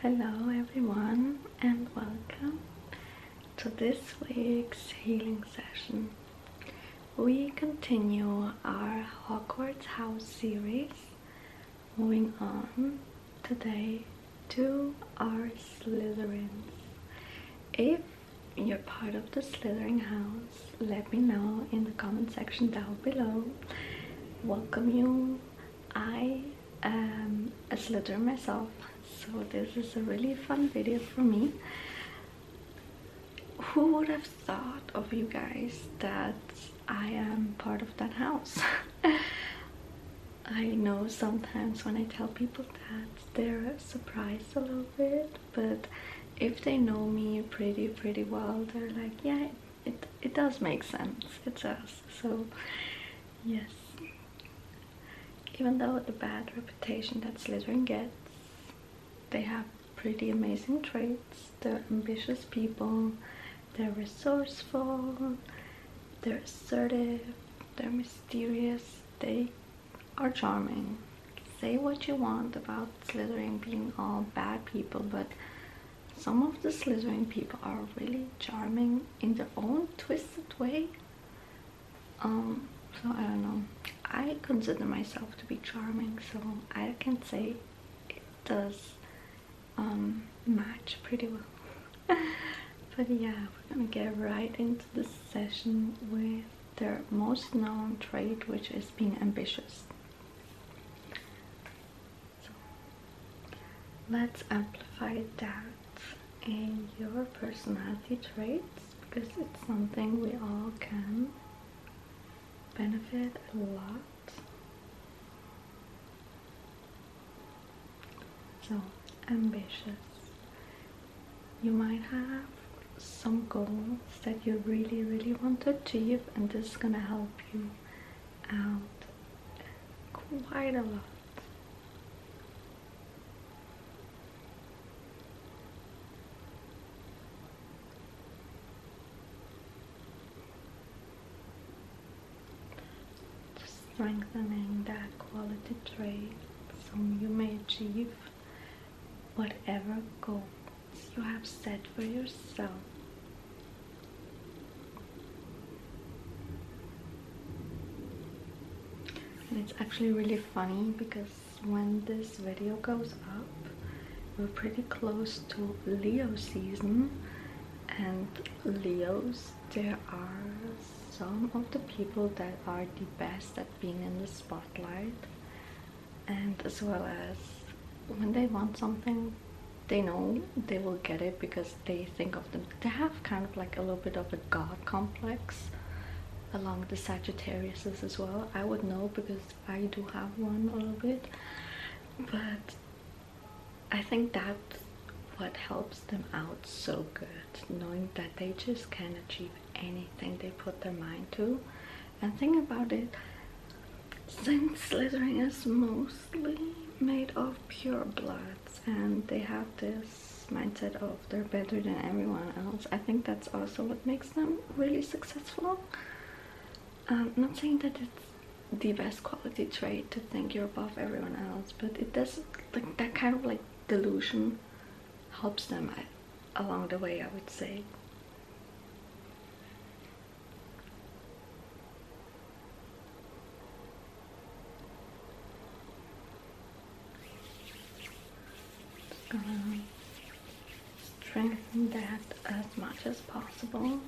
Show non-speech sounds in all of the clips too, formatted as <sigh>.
Hello everyone and welcome to this week's healing session. We continue our Hogwarts House series, moving on today to our Slytherins. If you're part of the Slytherin house, let me know in the comment section down below welcome you I am a slitter myself so this is a really fun video for me who would have thought of you guys that I am part of that house <laughs> I know sometimes when I tell people that they're surprised a little bit but if they know me pretty pretty well they're like yeah it, it does make sense, it does, so yes. Even though the bad reputation that Slytherin gets, they have pretty amazing traits. They're ambitious people, they're resourceful, they're assertive, they're mysterious, they are charming. Say what you want about Slytherin being all bad people, but some of the Slytherin people are really charming in their own twisted way. Um, so I don't know. I consider myself to be charming, so I can say it does um, match pretty well. <laughs> but yeah, we're gonna get right into this session with their most known trait, which is being ambitious let's amplify that in your personality traits because it's something we all can benefit a lot. So ambitious. You might have some goals that you really really want to achieve and this is gonna help you out quite a lot strengthening that quality trait so you may achieve whatever goal you have said for yourself. it's actually really funny because when this video goes up, we're pretty close to Leo season and Leos, there are some of the people that are the best at being in the spotlight and as well as when they want something they know they will get it because they think of them they have kind of like a little bit of a god complex along the Sagittarius as well I would know because I do have one a little bit but I think that's what helps them out so good knowing that they just can achieve anything they put their mind to and think about it since slytherin is mostly made of pure bloods and they have this mindset of they're better than everyone else i think that's also what makes them really successful i'm um, not saying that it's the best quality trait to think you're above everyone else but it does like that kind of like delusion helps them I, uh, along the way i would say um, strengthen that as much as possible.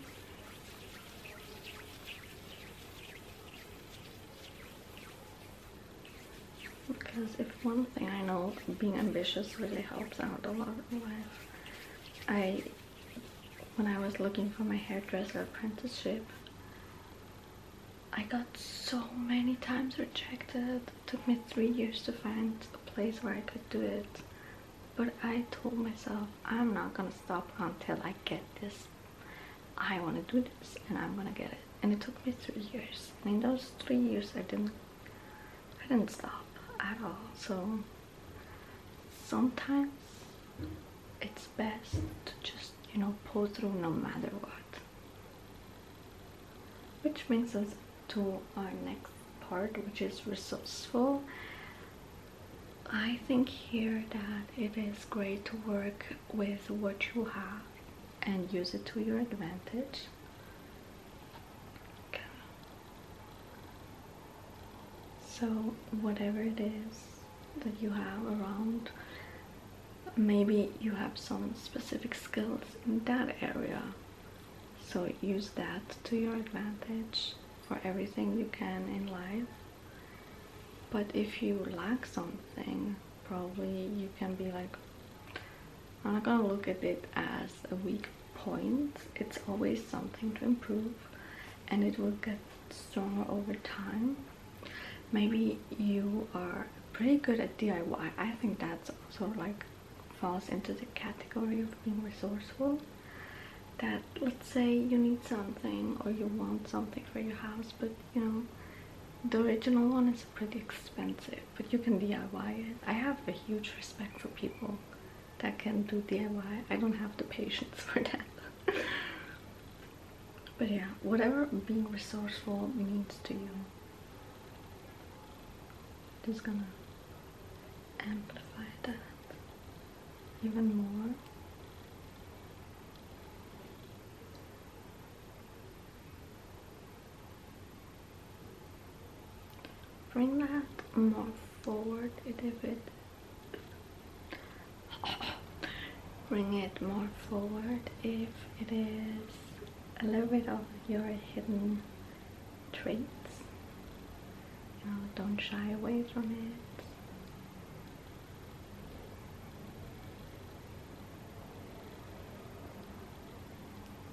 Because if one thing I know being ambitious really helps out a lot was I, when I was looking for my hairdresser apprenticeship, I got so many times rejected. It took me three years to find a place where I could do it. But I told myself, I'm not gonna stop until I get this. I wanna do this and I'm gonna get it. And it took me three years. And in those three years, I didn't I didn't stop at all. So sometimes it's best to just, you know, pull through no matter what. Which brings us to our next part, which is resourceful. I think here that it is great to work with what you have and use it to your advantage. So, whatever it is that you have around, maybe you have some specific skills in that area. So, use that to your advantage for everything you can in life. But if you lack something, probably you can be like, I'm not gonna look at it as a weak point. It's always something to improve and it will get stronger over time. Maybe you are pretty good at DIY. I think that's also like falls into the category of being resourceful. That let's say you need something or you want something for your house, but you know, the original one is pretty expensive but you can DIY it. I have a huge respect for people that can do DIY. I don't have the patience for that. <laughs> but yeah, whatever being resourceful means to you, it's gonna amplify that even more. Bring that more forward a little bit. Bring it more forward if it is a little bit of your hidden traits. don't shy away from it.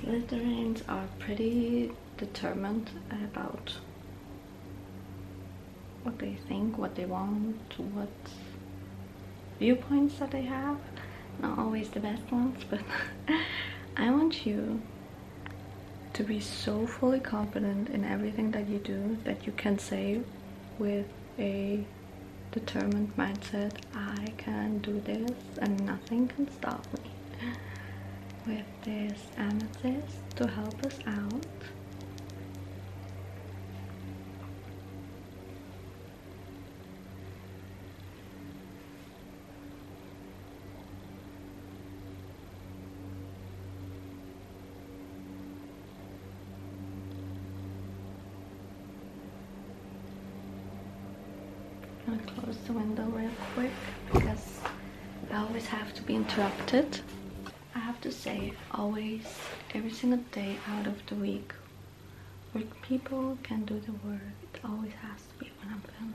Slytherins are pretty determined about what they think, what they want, what viewpoints that they have. Not always the best ones, but <laughs> I want you to be so fully confident in everything that you do that you can say with a determined mindset I can do this and nothing can stop me with this amethyst to help us out I'm gonna close the window real quick because I always have to be interrupted. I have to say, always, every single day out of the week, work people can do the work. It always has to be when I'm filming.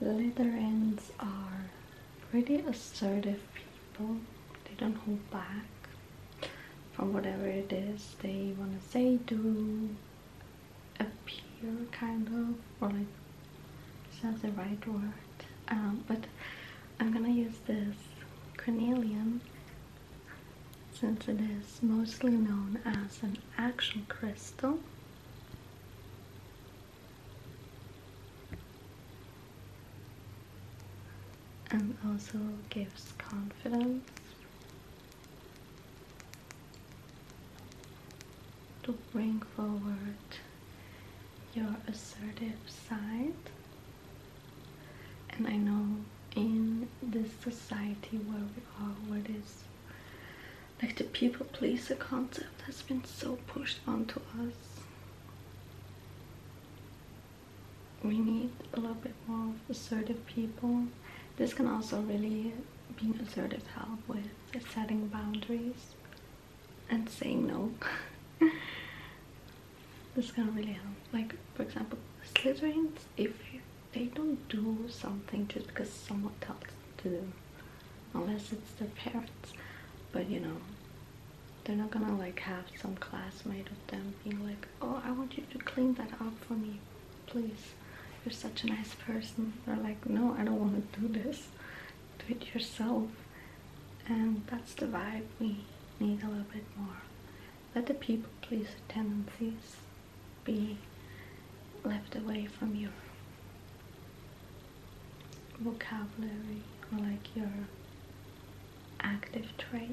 Lutherans are pretty assertive people. They don't hold back from whatever it is they want to say, do, a pure kind of or like it's not the right word um, but I'm gonna use this carnelian since it is mostly known as an action crystal and also gives confidence to bring forward your assertive side. And I know in this society where we are, where this like the people pleaser concept has been so pushed onto us. We need a little bit more assertive people. This can also really being assertive help with setting boundaries and saying no. <laughs> this can really help. Like for example, Slytherins, if they don't do something just because someone tells them to do, unless it's their parents. But you know, they're not gonna like have some classmate of them being like, "Oh, I want you to clean that up for me, please." you're such a nice person they're like no i don't want to do this do it yourself and that's the vibe we need a little bit more let the people pleaser tendencies be left away from your vocabulary or like your active traits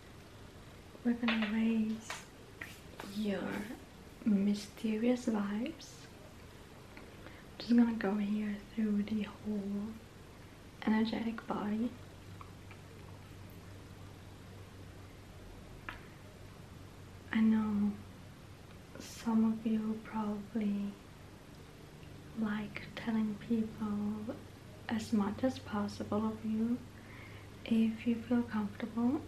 we're gonna raise your mysterious vibes. just gonna go here through the whole energetic body. I know some of you probably like telling people as much as possible of you if you feel comfortable.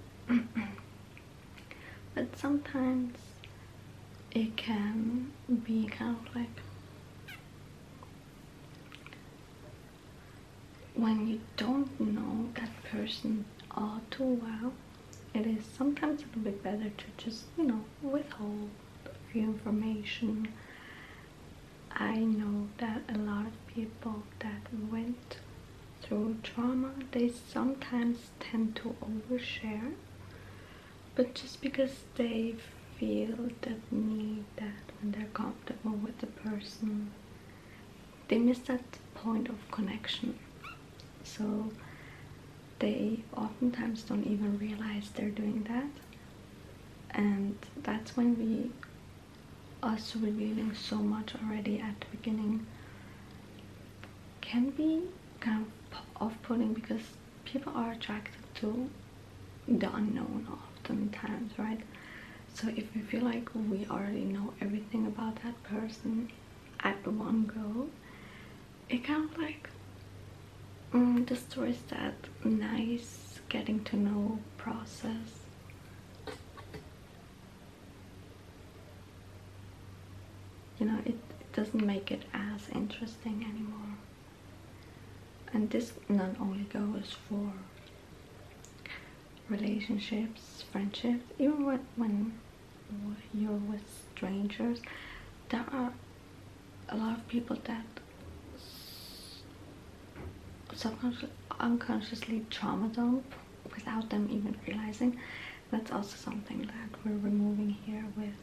<clears throat> but sometimes it can be kind of like when you don't know that person all too well, it is sometimes a little bit better to just, you know, withhold a few information I know that a lot of people that went through trauma, they sometimes tend to overshare. But just because they feel that need that when they're comfortable with the person, they miss that point of connection. So they oftentimes don't even realize they're doing that and that's when we us revealing so much already at the beginning can be kind of off-putting because people are attracted to the unknown oftentimes right so if we feel like we already know everything about that person at the one go it kind of like Mm, the store is that nice getting to know process you know it, it doesn't make it as interesting anymore and this not only goes for relationships, friendships, even when, when you're with strangers, there are a lot of people that sometimes unconsciously trauma dump without them even realizing that's also something that we're removing here with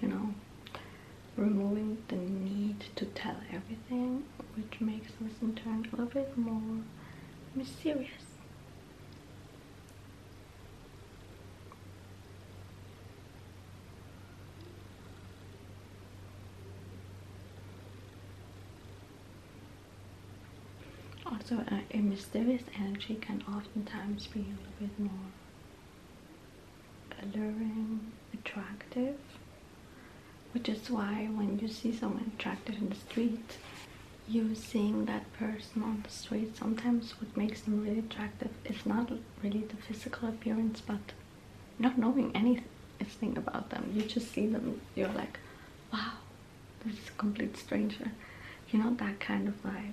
you know removing the need to tell everything which makes us in turn a little bit more mysterious also, uh, a mysterious energy can oftentimes be a little bit more alluring, attractive, which is why when you see someone attractive in the street, you seeing that person on the street sometimes what makes them really attractive is not really the physical appearance but not knowing anything about them you just see them you're like wow this is a complete stranger you know that kind of vibe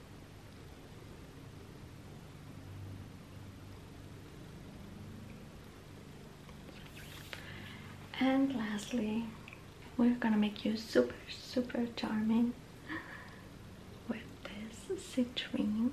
And lastly, we're gonna make you super, super charming with this citrine.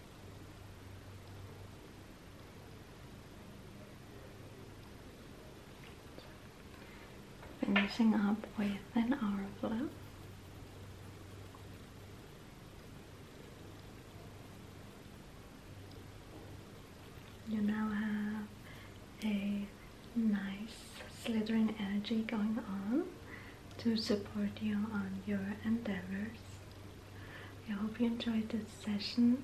Finishing up with an hour flow. You now have a nice slithering energy going on to support you on your endeavors. I hope you enjoyed this session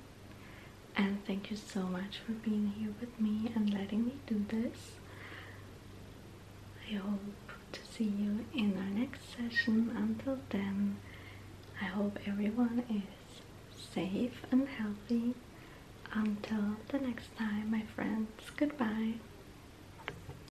and thank you so much for being here with me and letting me do this. I hope to see you in our next session. Until then, I hope everyone is safe and healthy. Until the next time, my friends, goodbye.